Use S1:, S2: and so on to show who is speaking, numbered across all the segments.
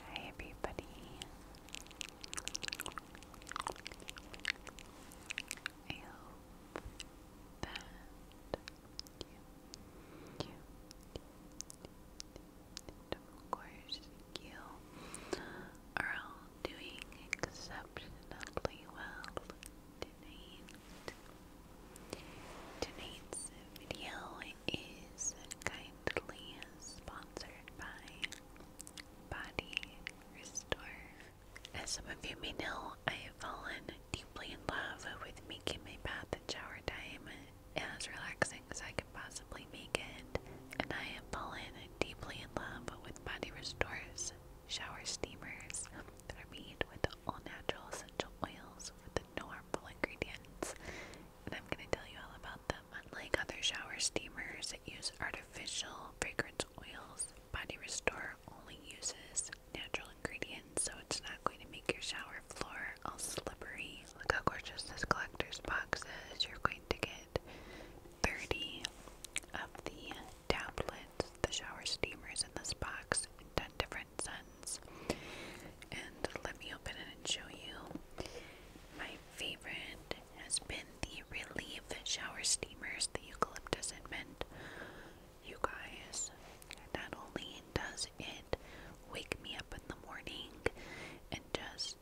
S1: Hi, everybody. I hope that you, you, and of course, you are all doing exceptionally well tonight. Tonight's video is kindly sponsored by Body Restore. As some of you may know, I have fallen deeply in love with making my bath and shower time as relaxing as I can possibly make it, and I have fallen deeply in love with Body Restore's shower steamers that are made with all natural essential oils with no harmful ingredients and I'm going to tell you all about them. Unlike other shower steamers that use artificial fragrance oils, Body Restore only uses natural ingredients, so it's not going to make your shower floor all slippery. Look how gorgeous this collector's box is. You're going to get 30 of the tablets, the shower steamers in this box, in 10 different and And let me open it and show you. My favorite has been the Relief Shower Steamers, the eucalyptus and mint. You guys, not only does it wake me up in the morning and just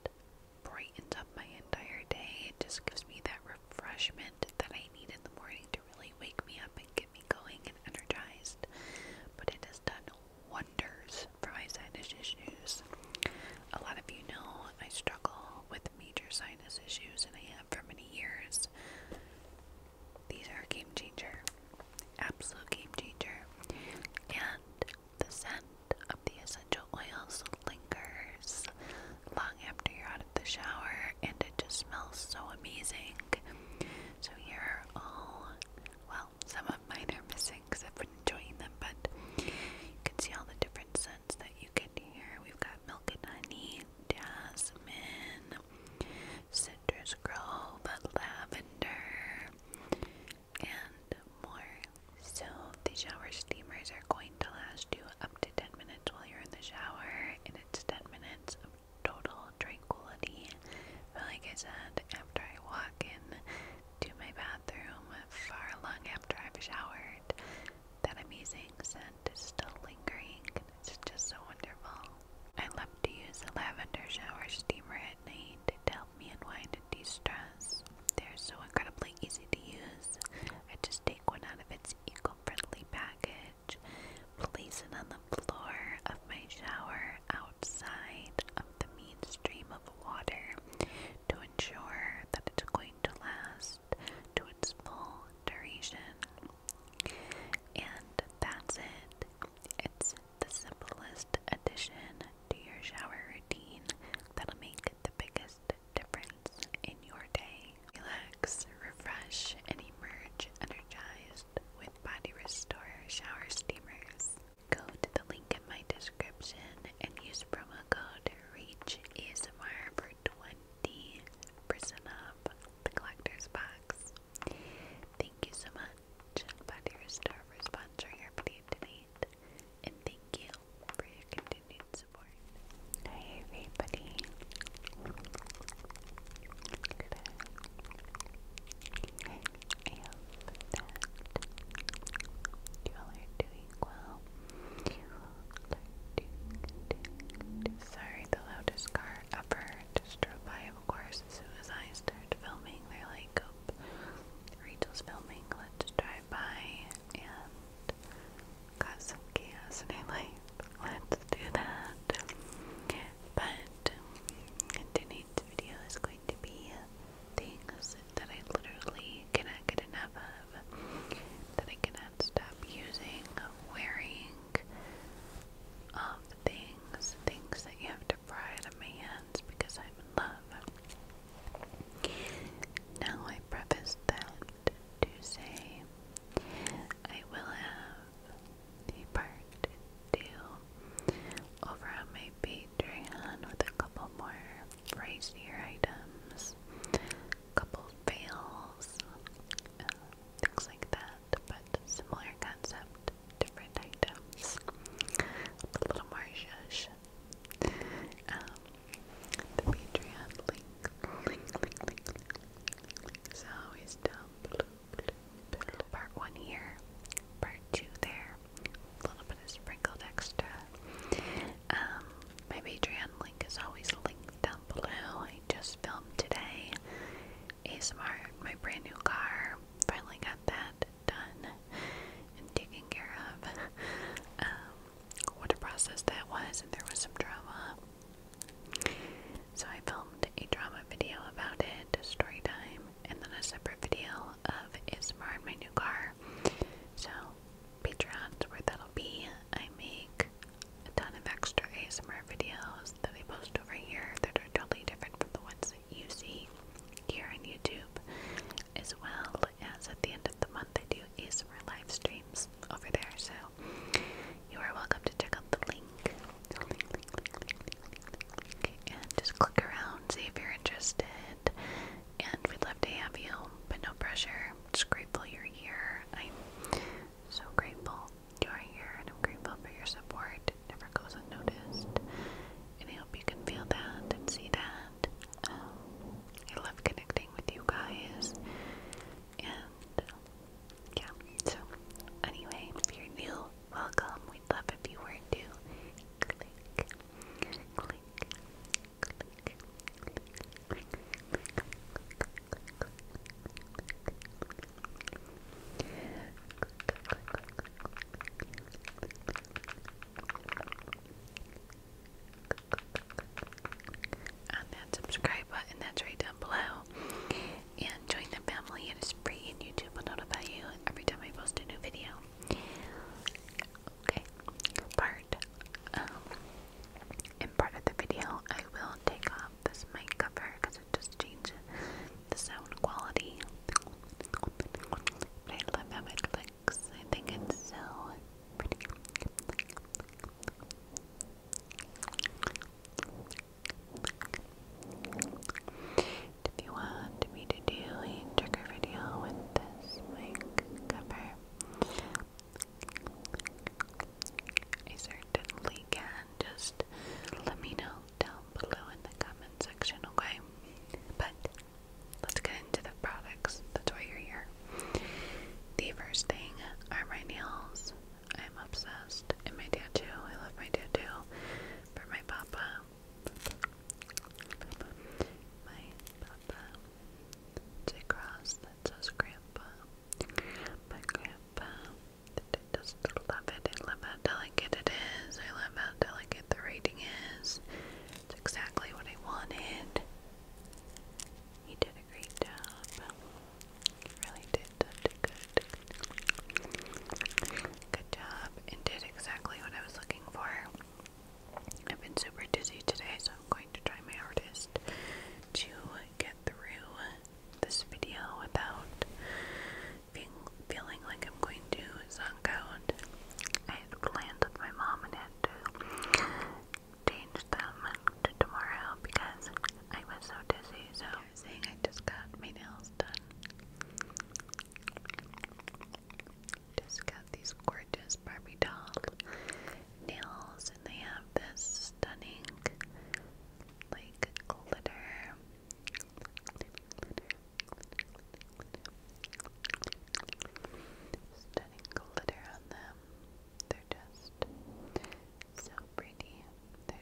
S1: brightens up my entire day, it just gives me that refreshment that I need in the morning to really wake me up and get me going and energized. But it it is done wonders for my sinus issues. A lot of you know I struggle with major sinus issues, and I have for many years. These are a game changer, absolute game changer, and the scent of the essential oils lingers long after you're out of the shower, and it just smells so amazing. So you are all, well, some of mine are missing because I've been enjoying them, but you can see all the different scents that you get here. We've got milk and honey, jasmine, citrus grove, lavender, and more. So the shower steamers are going to last you up to 10 minutes while you're in the shower, and it's 10 minutes of total tranquility like I said, after I walk in to my bathroom far long after I've showered, that amazing scent is still lingering. It's just so wonderful. I love to use a lavender shower steamer at night to help me unwind and de-stress. They're so incredibly easy to use. I just take one out of its eco-friendly package, place it on the floor of my shower, outside of the mainstream of water to ensure that it's going to last to its full duration. And that's it. It's the simplest addition to your shower routine that'll make the biggest difference in your day. Relax, refresh, and emerge energized with Body Restore Shower Steamers. Go to the link in my description and use promo code REACHASMR for 20% off the collector's box. Thank you so much, Body Restore, for sponsoring our video tonight. And thank you for your continued support. Hi everybody. I that y'all are doing well. Sorry, the loudest car ever drove by, of course, as soon as I started filming. They're like, oh, Rachel's filming, let's drive by and cause some chaos. And I'm like, let's do that. But today's video is going to be things that I literally cannot get enough of, that I cannot stop using, wearing, all um, the things, things that you have to pry out of my hands because I'm in love. Now I preface that to say I will have he parked deal over on my Patreon with a couple more pricier items, couple fails, uh, things like that, but similar concept, different items, a little more shush. Um, the link, link, link, link, link, link, link is always Part one here, part two there, a little bit of sprinkled extra. Um, my Patreon link is always linked down below. I just filmed today. ASMR, my brand new car. Finally got that done and taken care of. Um, what a process that was, and there was some drama. So I filmed a drama video about it, story time, and then a separate video of Ismar and my new car. So Patreon's where that'll be. I make a ton of extra ASMR videos that I post over here that are totally different from the ones that you see here on YouTube. As well as at the end of the month, I do ASMR live streams over there. So you are welcome to check out the link, and just click around, see if you're interested. And we'd love to have you, but no pressure. i just grateful you're here. I'm so grateful you here, and I'm grateful for your support. never goes unnoticed. And I hope you can feel that and see that. Um, I love connecting with you guys. And yeah, so anyway, if you're new, welcome. We'd love if you were to click, click, click, click, click, click. On that subscribe button that's right down below, and join the family. It is free and YouTube will notify you every time I post a new video. Okay, part, um, in part of the video, I will take off this mic cover because it just changes the sound quality. I love how it looks. I think it's so pretty. If you want me to do a trigger video with this mic cover, I certainly can. Just let me know down below in the comment section, okay? But let's get into the products. That's why you're here. The first thing are my nails. I'm obsessed. And my tattoo. I love my tattoo. For my papa. My papa to cross that says grandpa. My grandpa just love it. I love how delicate it is. I love how delicate the writing is. It's exactly what I wanted. He did a great job. He really did good Good job. It did exactly what I was looking for. I've been super dizzy today, so I'm going to try my hardest to get through this video without feeling like I'm going to zonk out. I had planned with my mom and had to change them to tomorrow because I was so dizzy. So I was saying I just got my nails almost done. Just got these gorgeous Barbie doll nails, and they have this stunning, like, glitter. Stunning glitter on them. They're just so pretty. They're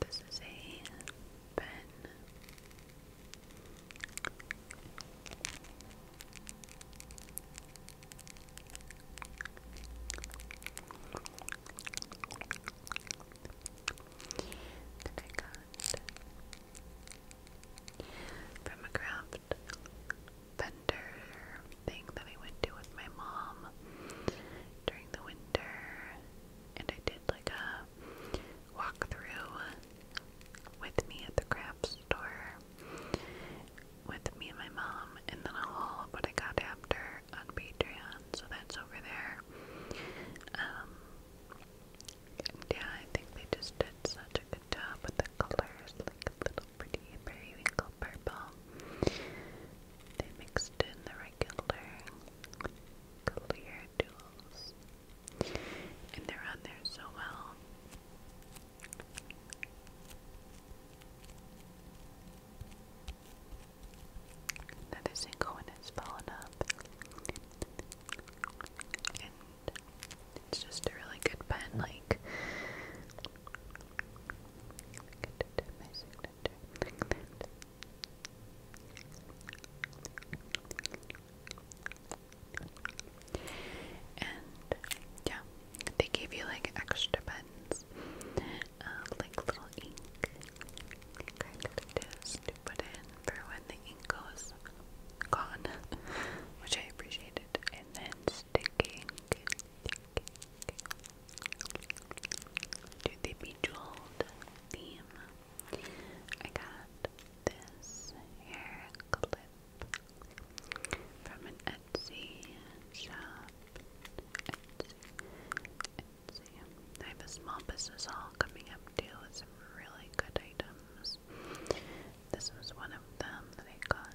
S1: This is a pen. That I got from a craft vendor thing that I went to with my mom during the winter, and I did like a walkthrough with me at the craft store with me and my mom, and then I'll haul what I got after on Patreon, so that's over there. Um, yeah, I think they just did such a good job with the colors, like a little pretty periwinkle purple. They mixed in the regular clear tools. And they're on there so well. Another single one has fallen up. And it's just a really good pen, like and yeah, they gave you like extra pens, uh, like little ink kind of tips to put in for when the ink goes gone, which I appreciated. And then sticking, to the Bejeweled theme. I got this hair clip from an Etsy shop. Etsy. I have a small business haul coming up too with some really good items. This was one of them that I got.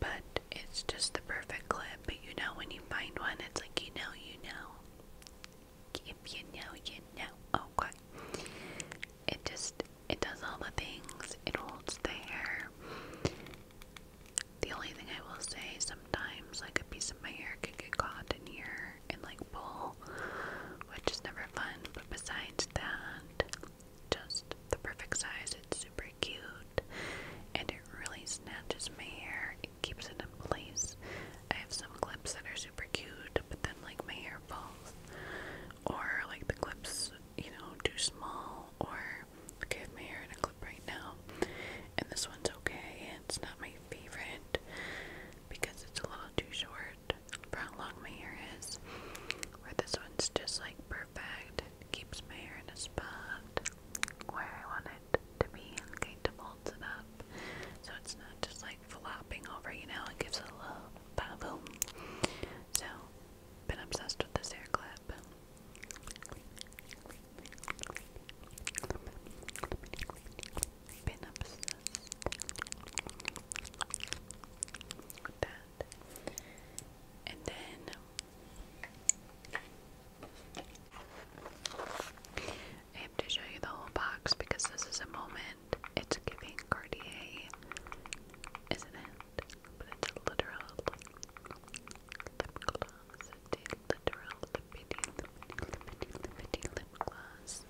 S1: But it's just the perfect clip. But you know, when you find one, it's like you know, you know. If you know, you know. Okay. It just it does all the things, it holds the hair. The only thing I will say sometimes, like a piece of my hair could get caught in here and like pull, which is never fun. But besides that, just the perfect size. It's super cute and it really snatches my hair, it keeps it in place. I have some clips that are super cute, but then like my hair or like the clips, you know, too small, or okay, I hair in a clip right now, and this one's okay, it's not my favorite because it's a little too short for how long my hair is, where this one's just like perfect, it keeps my hair in a spot where I want it to be and kind of holds it up, so it's not just like flopping over, you know, it gives a little boom so, been obsessed with this hair clip. Been obsessed And then I have to show you the whole box because this is a moment it's giving Cartier, isn't it? But it's a literal lip gloss. It's a literal lippity, lippity, lippity, lippity lip gloss.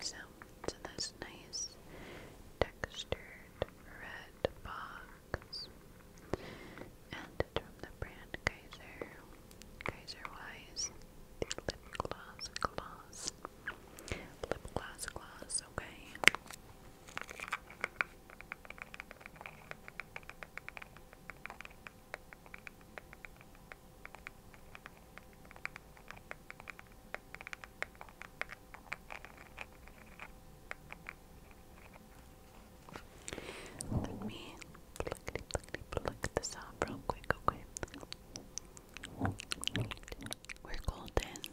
S1: So it's in this nice textured red box. And from the brand Kaiser. Kaiser lip gloss gloss. Lip gloss gloss, okay. Let me pluckety pluckety pluck this off real quick, okay? We're golden.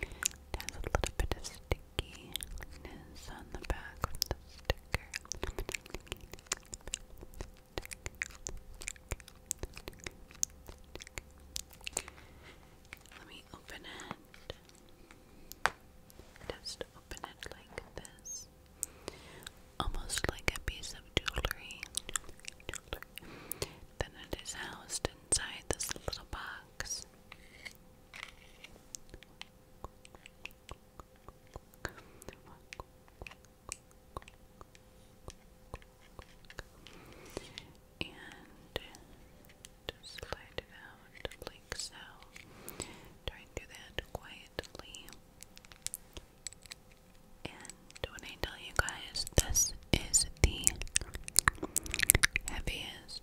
S1: has a little bit of stickiness on the back of the sticker. Let me open it. Just open it like this. Almost like a piece of jewelry. Then it is housed inside this little box. And slide it out like so. Try and do that quietly. And when I tell you guys, this is the heaviest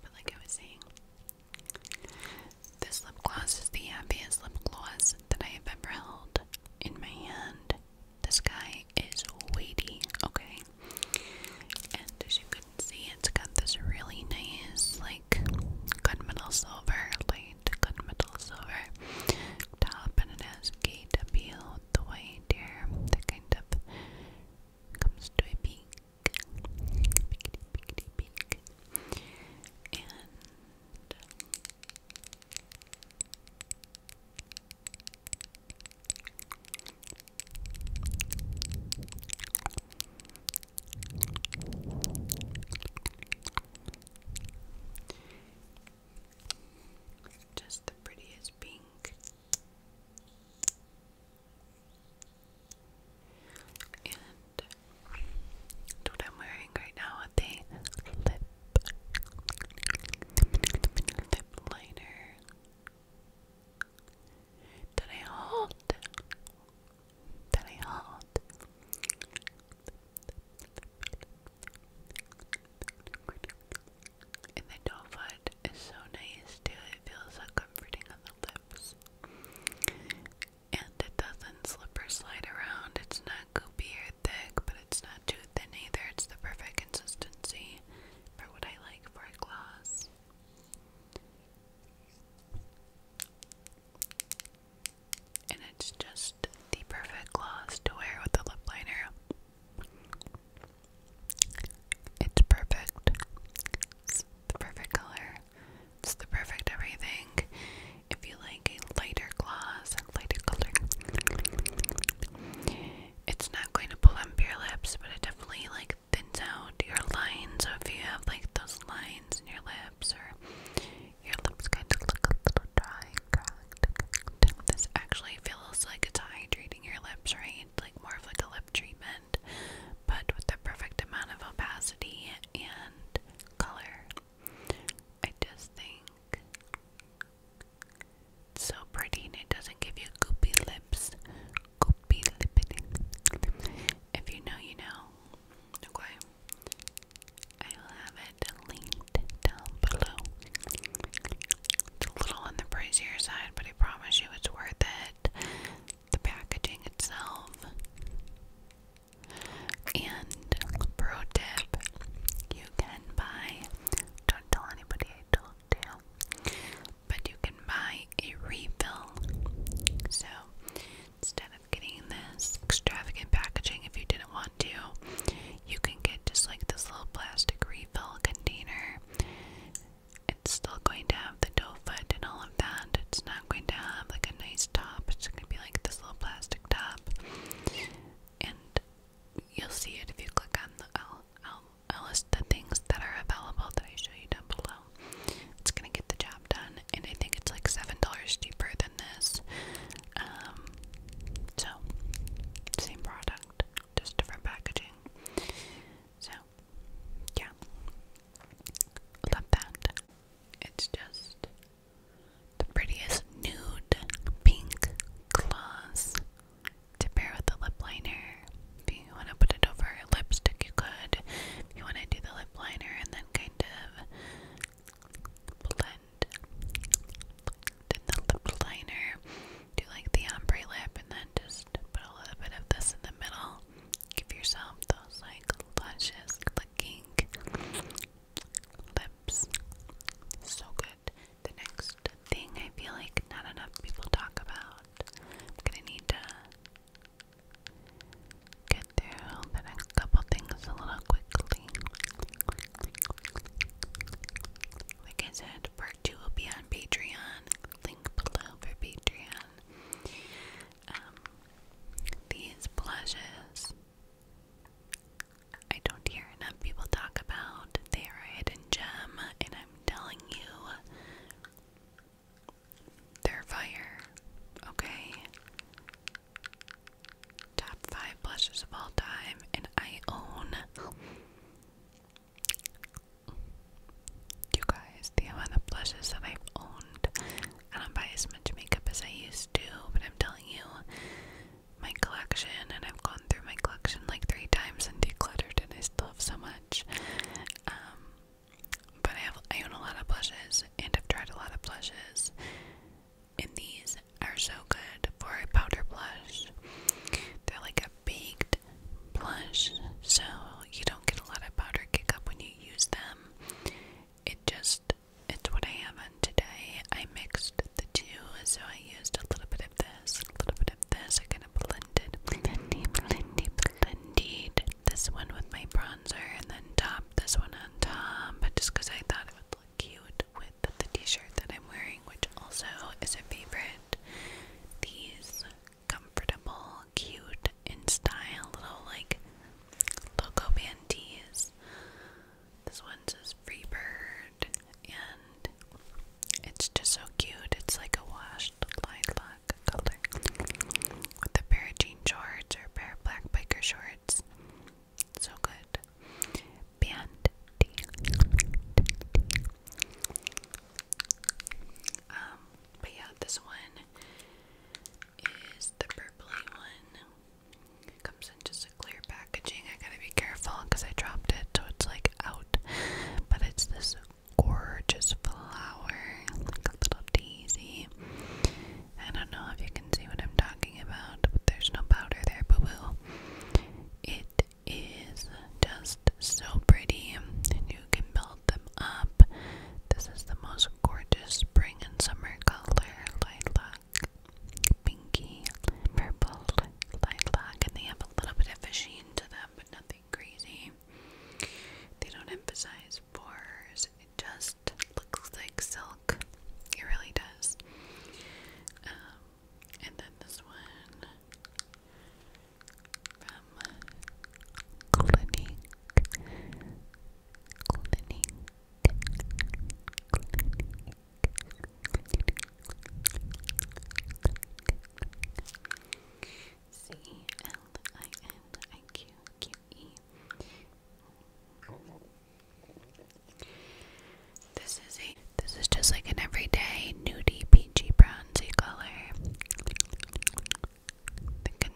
S1: But like I was saying, this lip gloss is the happiest lip gloss that I have ever held in my hand. This guy is weighty, okay? And as you can see, it's got this really nice, like, gunmetal silver, light gunmetal silver top, and it has KW the white here that kind of comes to a peak. Pickety, pickety, peak. And. Just the prettiest pink. And what I'm wearing right now with the lip lip liner. Very hot. Very hot. And the doe foot is so nice too. It feels so comforting on the lips. And it doesn't slip or slide around. It's not goopy or thick, but it's not too thin either. It's the perfect consistency for what I like for a gloss. And it's just the perfect gloss to wear with a lip liner. It's perfect. the perfect color. It's the perfect everything. If you like a lighter gloss, a lighter color, it's not going to pull plump your lips, but it definitely like thins out your lines. So if you have like those lines in your lips, or your lips kind of look a little dry this actually feels like it's hydrating your lips, right? Like more of like a lip treatment, but with the perfect amount of opacity and color. I just think so pretty and it doesn't give you goopy lips. Goopy lips. If you know, you know. Okay. I will have it linked down below. It's a little on the pricier side, but I promise you it's worth it. The packaging itself. And pro tip, you can buy don't tell anybody I told but you can buy a refill. So instead of getting this extravagant packaging, if you didn't want to, you can get just like this little plastic refill container. It's still going to have the doe foot and all of that. It's not going to have like a nice top. It's going to be like this little plastic top. And you'll see it if you click on the list of things that are available that I show you down below. It's gonna get the job done, and I think it's like seven dollars cheaper than this. Um, so same product, just different packaging. So yeah, love that. It's just the prettiest nude pink gloss to pair with the lip liner. If you want to put it over lipstick, you could. If you want to do the lip liner and then kind of blend, blend the lip liner, do like the ombre lip, and then just put a little bit of this in the middle. Give yourself those like luscious looking lips. So good. The next thing I feel like not enough people talk about. I'm gonna need to get through the next couple things a little quickly. Like I said, part two will be on Patreon. Link below for Patreon. Um, these blushes. I don't hear enough people talk about. They are a hidden gem, and I'm telling you they're fire, okay? Top five blushes of all time, and I own. You guys, the amount of blushes that I've owned. I don't as much makeup as I used to, but I'm telling you, my collection, and I've gone through my collection like three times and decluttered, and I still have so much much. Um, but I have I own a lot of blushes, and I've tried a lot of blushes, and these are so good for a powder blush. They're like a baked blush, so you don't get a lot of powder kick up when you use them. It just it's what I have on today. I mixed the two, so I used a little bit of this, a little bit of this. I kind blended, blendy, blendy, blended. This one with my bronzer, and then top this one on top. But just because I thought it would look cute with the T-shirt that I'm wearing, which also is a favorite. These comfortable, cute, in style little like logo band This one says Free Bird, and it's just so cute. It's like a wash with a pair of jean shorts or a pair of black biker shorts. So good. Band um, but yeah, this one is the purpley one. comes in just a clear packaging. I gotta be careful because I dropped it, so it's like out. But it's this gorgeous flower, like a little daisy. I don't know if you can see what I'm talking about, but there's no powder there, boo boo. It is just so pretty, you can build them up. This is the most gorgeous spring and summer color lilac, pinky, purple lilac, and they have a little bit of a sheen to them, but nothing crazy. They don't emphasize pores. It just looks like silk. It really does. Um, and then this one from Clinique. C L I N I Q Q E. This is a this is just like an everyday nudie peachy bronzy color. You can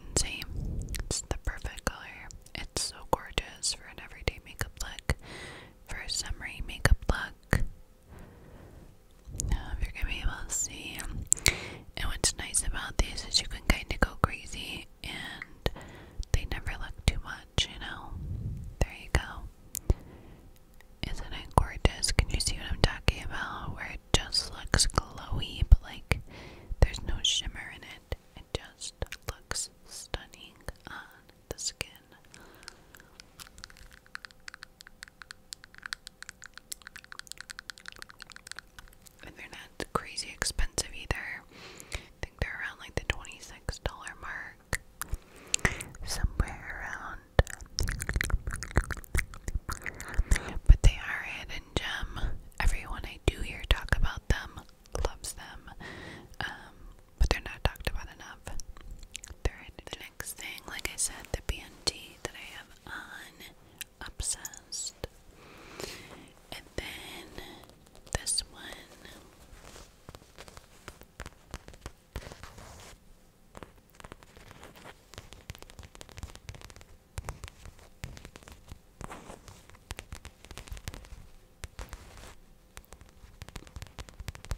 S1: it's the perfect color. It's so gorgeous for an everyday makeup look, for a summery makeup look you're gonna be able to see, um, and what's nice about these is you can kind of go crazy, and they never look too much, you know. There you go. Isn't it gorgeous? Can you see what I'm talking about? Where it just looks glowy, but like there's no shimmer in it. It just looks stunning on the skin. And they're not crazy expensive either. I think they're around like the $26 mark. Somewhere around. But they are a gem. Everyone I do hear talk about them loves them. Um, but they're not talked about enough. They're hidden. The next thing, like I said, the BNT that I have on Obsessed. And then this one.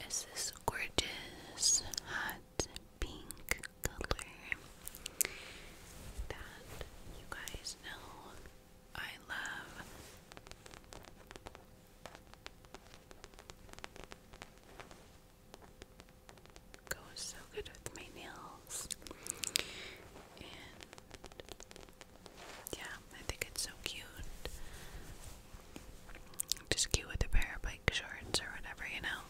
S1: it's this gorgeous hot pink color that you guys know I love. Goes so good with my nails. And yeah, I think it's so cute. Just cute with a pair of bike shorts or whatever, you know.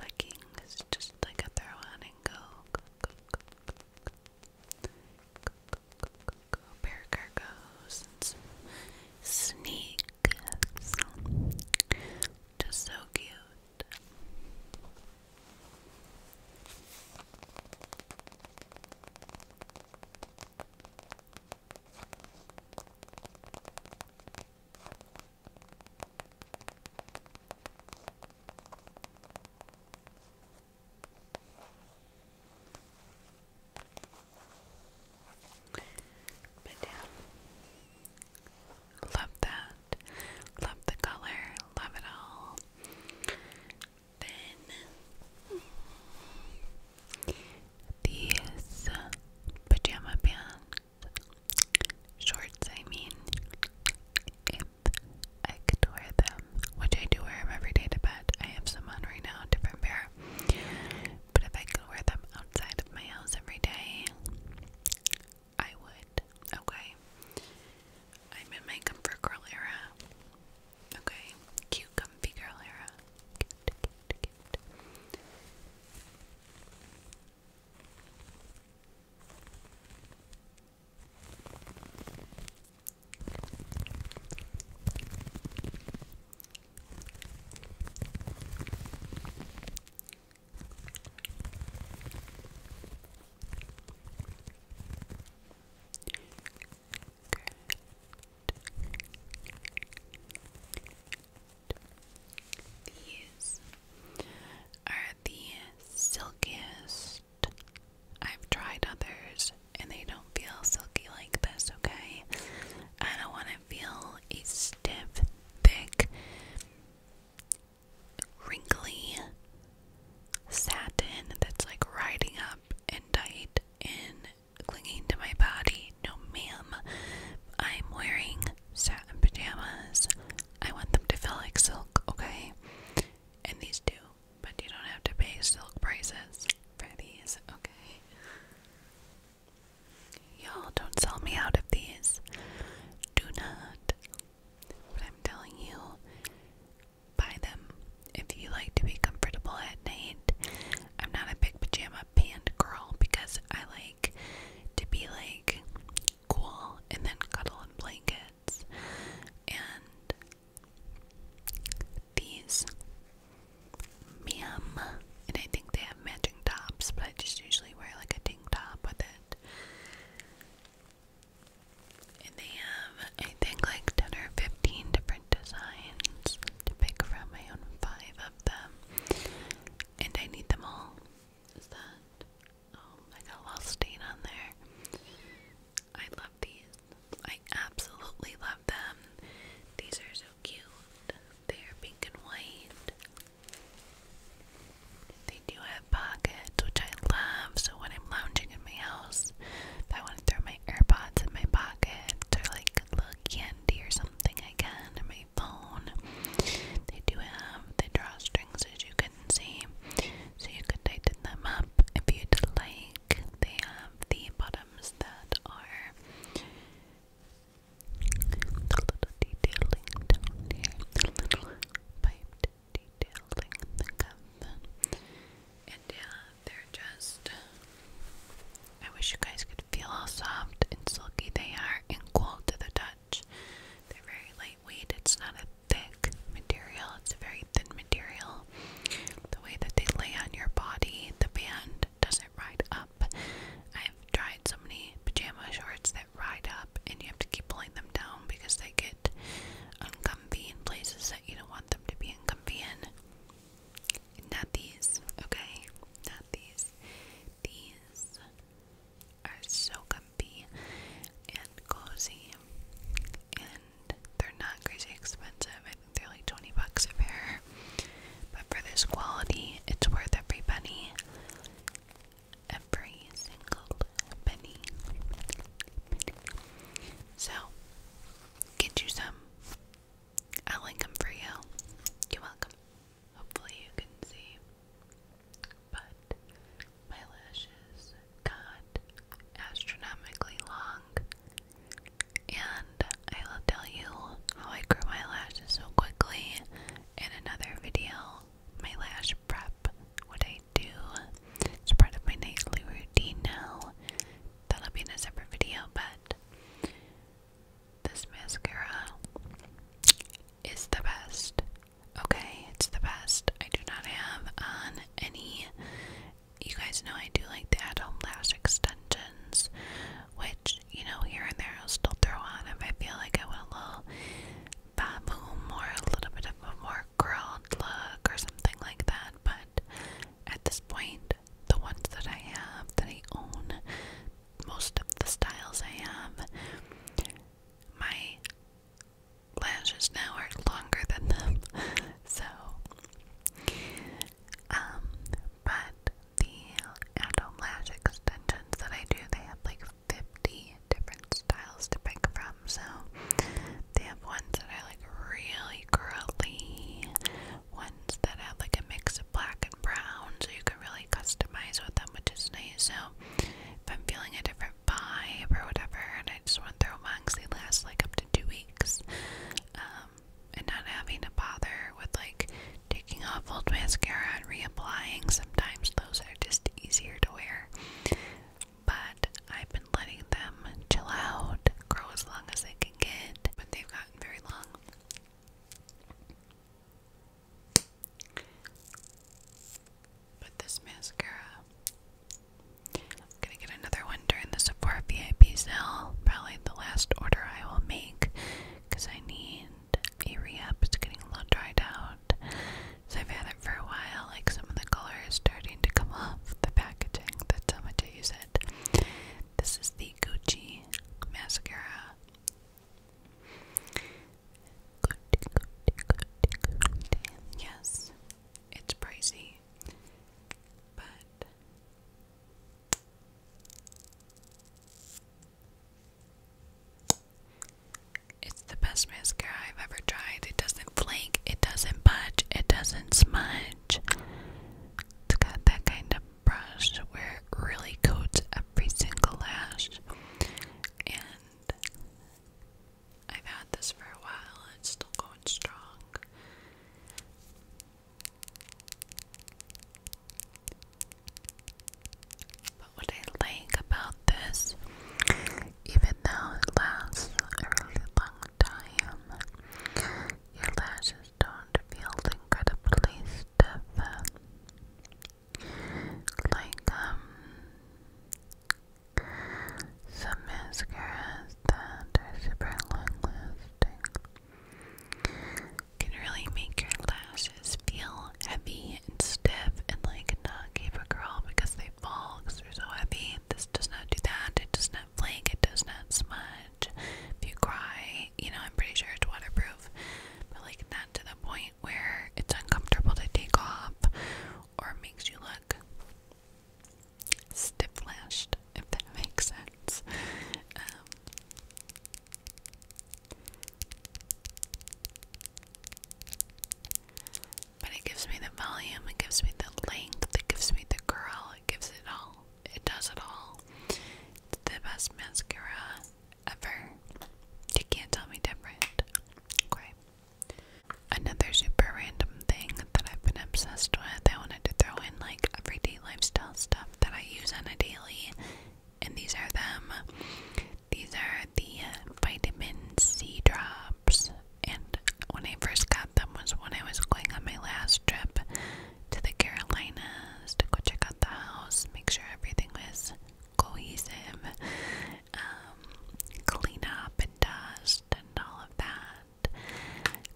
S1: Leggings, just like a throw on and go. Pair cargos sneakers. Just so cute. But yeah, love that. Love the color. Love it all. Then these pajama pants, shorts, I mean, if I could wear them, which I do wear them every day to bed. I have some on right now, different pair. But if I could wear them outside of my house every day, I would. Okay. I'm in my comfort era. Okay, cute, comfy girl era. Cute, these are the silkiest. I've tried others and they don't feel silky like this, okay? I don't want to feel a stiff, thick, wrinkly satin that's like riding up and tight and clinging to my body. No, ma'am. I'm wearing satin pajamas. I want them to feel like silk, okay? And these do, but you don't have to pay silk prices for these, okay? Y'all don't sell me out of these. Do not. But I'm telling you, buy them if you like to be comfortable at night. I'm not a big pajama pant girl because I like to be like cool and then cuddle in blankets. And these Ma'am, and I think they have matching tops, but I just usually wear like a tank top with it. And they have, I think, like 10 or 15 different designs to pick from. I own five of them. And I need them all. Is that? Oh, I got a little stain on there. I love these. I absolutely love them. These are so cute. They are pink and white. They do have pockets which I love. So when I'm lounging in my house, if I want to throw my AirPods in my pocket or like a little candy or something, I can. Or my phone. They do have the drawstrings, as you can see, so you could tighten them up if you'd like. They have the bottoms that are the little detailing down here, the little piped detailing the cup. And yeah, they're just. I wish you guys could feel how soft and silky they are and cool to the touch. They're very lightweight, it's not a thick material, it's a very thin material. The way that they lay on your body, the band doesn't ride up. I've tried so many pajama shorts that ride up, and you have to keep pulling them down because they get get uncomfy in places that you don't want them to be uncomfy in. Not these, okay? Not these. These are so comfy and cozy, and they're not crazy expensive. I think they're like 20 bucks a pair. But for this quality, it's worth every penny. Every single called So, get you some. I'll link them for you. You're welcome. Hopefully, you can see. But my lashes got astronomically long. And I will tell you how I grew my lashes so quickly in another video. My lash prep, what I do. It's part of my nightly routine now. That'll be in a separate video, but this mascara is the best. Okay, it's the best. I do not have on any. You guys know I do like the at home lash extensions, which, you know, here and there I'll still throw on if I feel like I want a little baboom or a little bit of more more look or something like that, but at this point, the ones that I have, that I own, most of the styles I have, my lashes now are longer than them, so, um, but the adult lash extensions that I do, they have like 50 different styles else to pick from. So they have ones that are like really curly, ones that have like a mix of black and brown, so you can really customize with them, which is nice. So if I'm feeling a different vibe or whatever, and I just want to throw them on because they last like up to two weeks, um, and not having to bother with like taking off old mascara and reapplying, sometimes those are just easier to wear. But I've been letting them chill out, grow as long as they can get, but they've gotten very long. But this mascara, gonna get another one during the Sephora VIP sale. Probably the last order I will make because I need a re It's getting a little dried out. So I've had it for a while, like some of the color is starting to come off the packaging. That's how much I use it. This is the Gucci mascara. Yes, it's pricey, but it's the best mascara I've ever tried. It doesn't does flake, it doesn't budge, it doesn't smudge. It's got that kind of brush where it really coats every single lash. And I've had this for a while, it's still going strong. But what I like about this, even though it lasts a really long time. Your lashes don't feel incredibly stiff. Like, um, some mascaras that are super long lasting can really make your lashes feel heavy and stiff and like not give a curl because they fall because so heavy this does not do that, it does not flake, it does not smudge. If you cry, you know, I'm pretty sure it's waterproof, but like not to the point where it's uncomfortable to take off or makes you look stiff lashed, if that makes sense. Um, but it gives me the volume, it gives me the length, it gives me the curl, it gives it all. It does it all. It's the best mascara ever. You can't tell me different. Okay. Another super random thing that I've been obsessed with, I wanted to throw in like everyday lifestyle stuff that I use on a daily, and these are them. These are the uh, vitamin C drops and when I first got them was when I was going on my last trip to the Carolinas to go check out the house, make sure everything was cohesive, um, clean up and dust and all of that.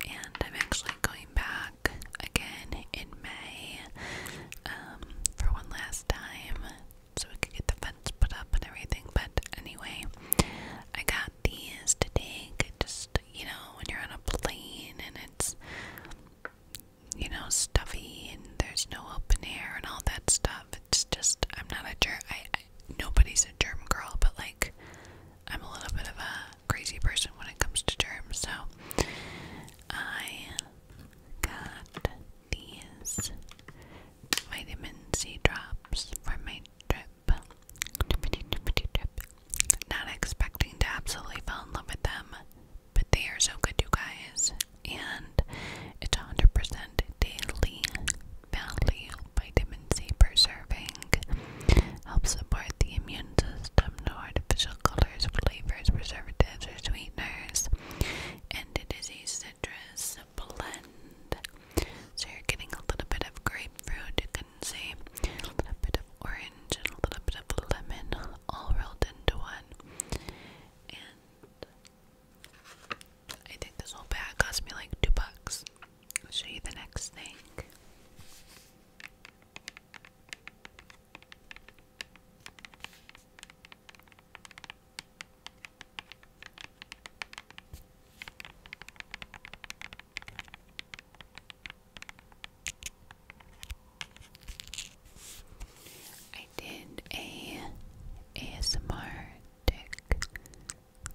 S1: And I'm actually going back again in May um, for one last time so we could get the fun put up and everything. But anyway, I got these to take. Just you know, when you're on a plane and it's you know stuffy and there's no open air and all that stuff. It's just I'm not a germ. I, I nobody's a germ girl, but like I'm a little bit of a crazy person when it comes to germs. So I got these vitamin C drops for my drip, drippity Not expecting to absolutely fall in love with them, but they are so good, you guys. And it's 100% daily value vitamin C per Helps support the immune system. No artificial colors, flavors, preservatives, or sweeteners. And it is a citrus blend. So you're getting a little bit of grapefruit, you can see, a little bit of orange, and a little bit of lemon all rolled into one. And I think this whole bag cost me like two bucks. I'll show you the next thing. I did a ASMR tick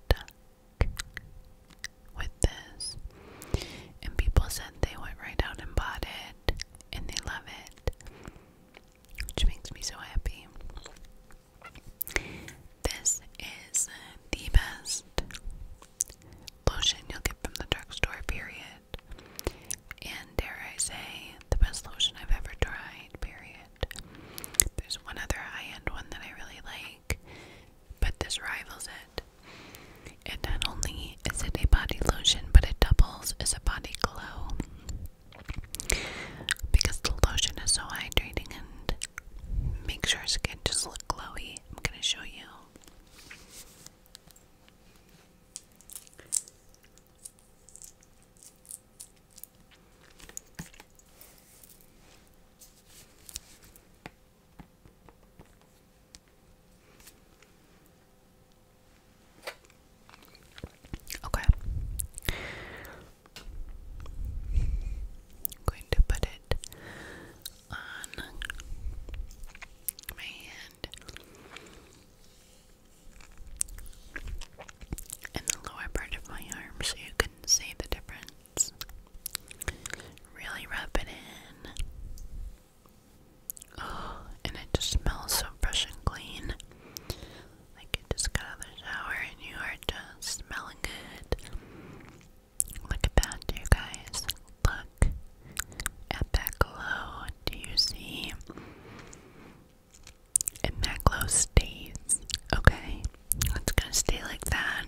S1: duck with this, and people said they went right out and bought it, and they love it, which makes me so happy. This is the best lotion you'll get from the drugstore, period. And dare I say, the best lotion I've ever tried, period. There's one other high end one that I really like, but this rivals it. And not only is it a body lotion, but it doubles as a body glow because the lotion is so hydrating and makes your skin just look glowy. I'm gonna show you. Okay. I'm going to put it on my hand in the lower part of my arm so you can see the difference. Really rub it in. Oh, and it just smells so fresh and clean. Like you just got out of the shower and you are just smelling good. Look at that, you guys. Look at that glow. Do you see? And that glow stays. Okay, it's gonna stay like that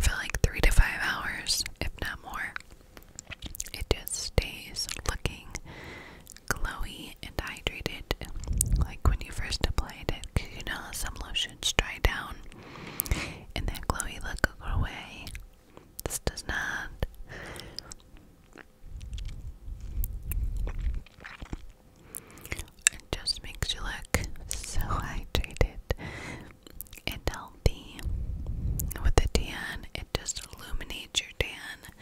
S1: for like three to five hours, if not more. It just stays looking glowy and hydrated, like when you first apply applied it because you know some lotions dry down and that glowy look will away. This does not. It just makes you look so hydrated and healthy. With the tan, it just illuminates your tan.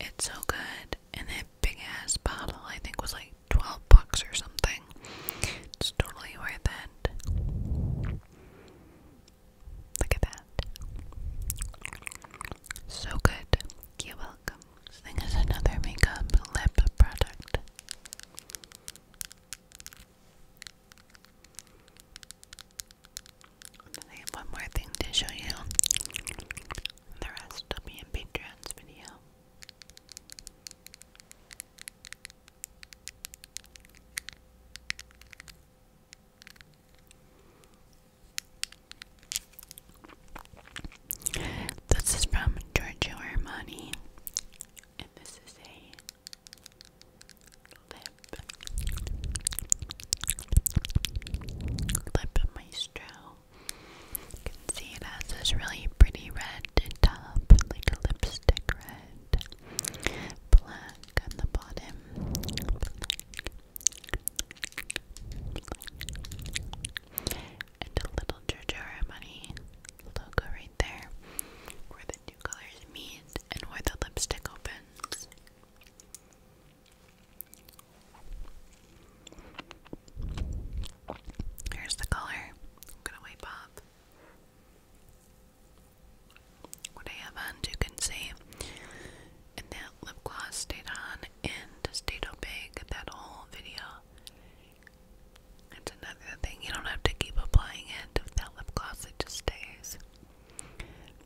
S1: It's so good. And that big ass bottle, I think, was like 12 bucks or something. It's totally worth it. Look at that. So good. You're welcome. This thing is another makeup lip product. I have one more thing to show you. The rest will be in Patreon's video. This is from Giorgio Armani, and this is a lip lip maestro. You can see it has this really pretty red top, like a lipstick red. Black on the bottom. And a little Giorgio Armani logo right there, where the two colors meet and where the lipstick opens. Here's the color. I'm gonna wipe off what I have on, you can see. And that lip gloss stayed on and stayed opaque that whole video. It's another thing, you don't have to keep applying it. that lip gloss, it just stays.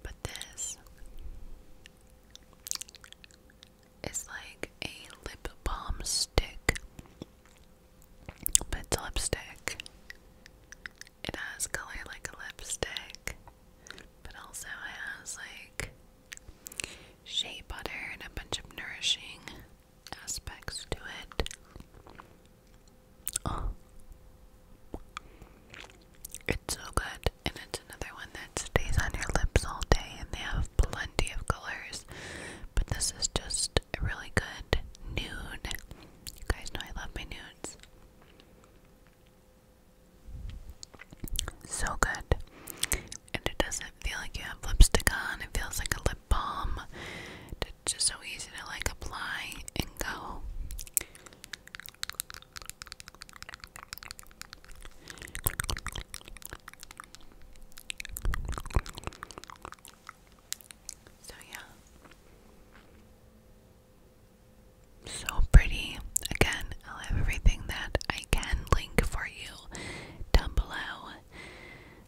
S1: But this is like a lip balm stick. But it's lipstick. It has color like a lipstick, but also has like shea butter and a bunch of nourishing aspects to it. Oh. It's so good, and it's another one that stays on your lips all day, and they have plenty of colors, but this is just a really good nude. You guys know I love my nudes. So good. And it doesn't feel like you have lipstick on, it feels like a lip balm. It's just so easy to like apply and go. So, yeah. So pretty. Again, I'll have everything that I can link for you down below.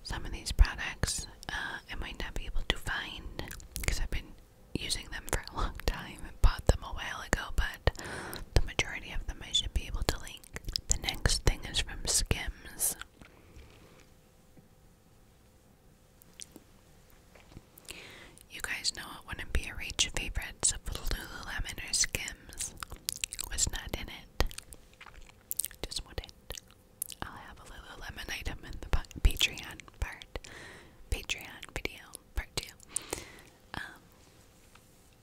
S1: Some of these products uh, I might not be able to find because I've been using them for a long time and bought them a while ago, but the majority of them I should be able to link. The next thing is from Skims. You guys know it wouldn't be a reach favorites if Lululemon or Skims was not in it. Just wouldn't. I'll have a Lululemon item in the Patreon part, Patreon video part two. Um,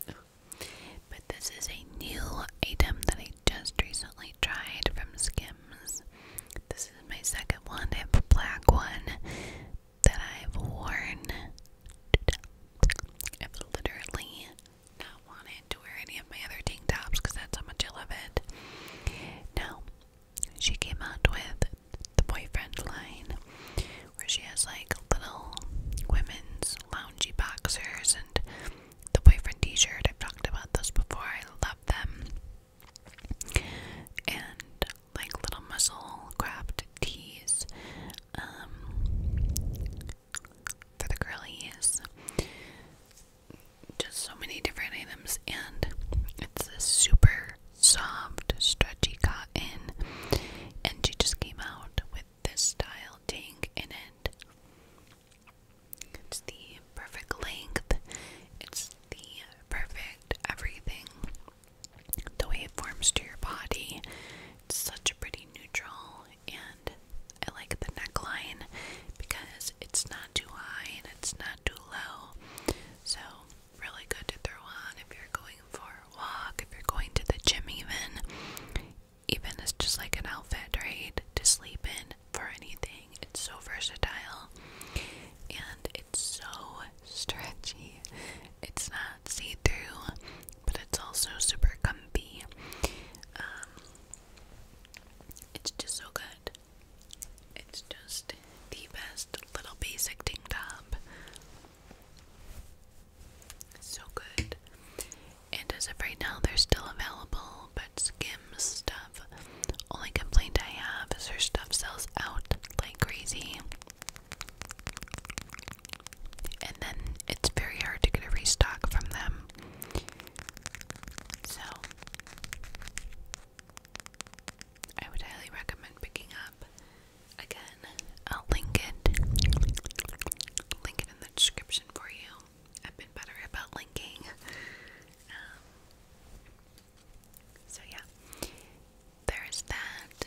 S1: but this is a new item that I just recently tried from Skims. This is my second one. I a black one that I've worn. I've literally not wanted to wear any of my other tank tops because that's how much I love it. Now, she came out with the boyfriend line where she has like little women's loungy boxers the boyfriend t-shirt. I've talked about those before. I love them. And like little muscle craft tees um, for the girlies. Just so many different items, and it's this super soft, stretchy cotton. And she just came out with this style tank in it. It's the perfect length, it's the perfect everything. The way it forms to your body. It's such a pretty neutral, and I like the neckline because it's not too high and it's not too low. So, really good to throw on if you're going for a walk, if you're going to the gym, even even it's just like an outfit, right? To sleep in for anything. It's so versatile and it's so stretchy. It's not see through, but it's also super comfy. Um, it's just so good. It's just the best little basic tank top. So good. And as of right now, they're still available, but skim stuff. Only complaint I have is their stuff sells out like crazy. And then it's very hard to get a restock from them. So, I would highly recommend picking up. Again, I'll link it. Link it in the description for you. I've been better about linking. Um, so, yeah, there is that.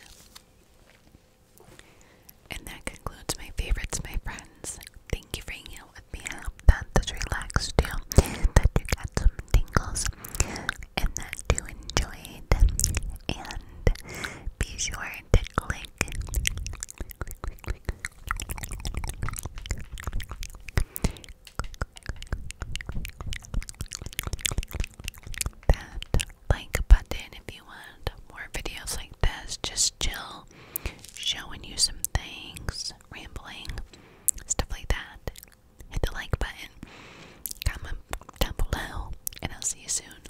S1: And that concludes my favorites, my friends. Thank you for hanging out with me. that this relaxed you, that you got some tingles, and that you enjoyed. And be sure to click, That like button if you want more videos like this, just chill, showing you some things, rambling, stuff like that. Hit the like button, comment down below, and I'll see you soon.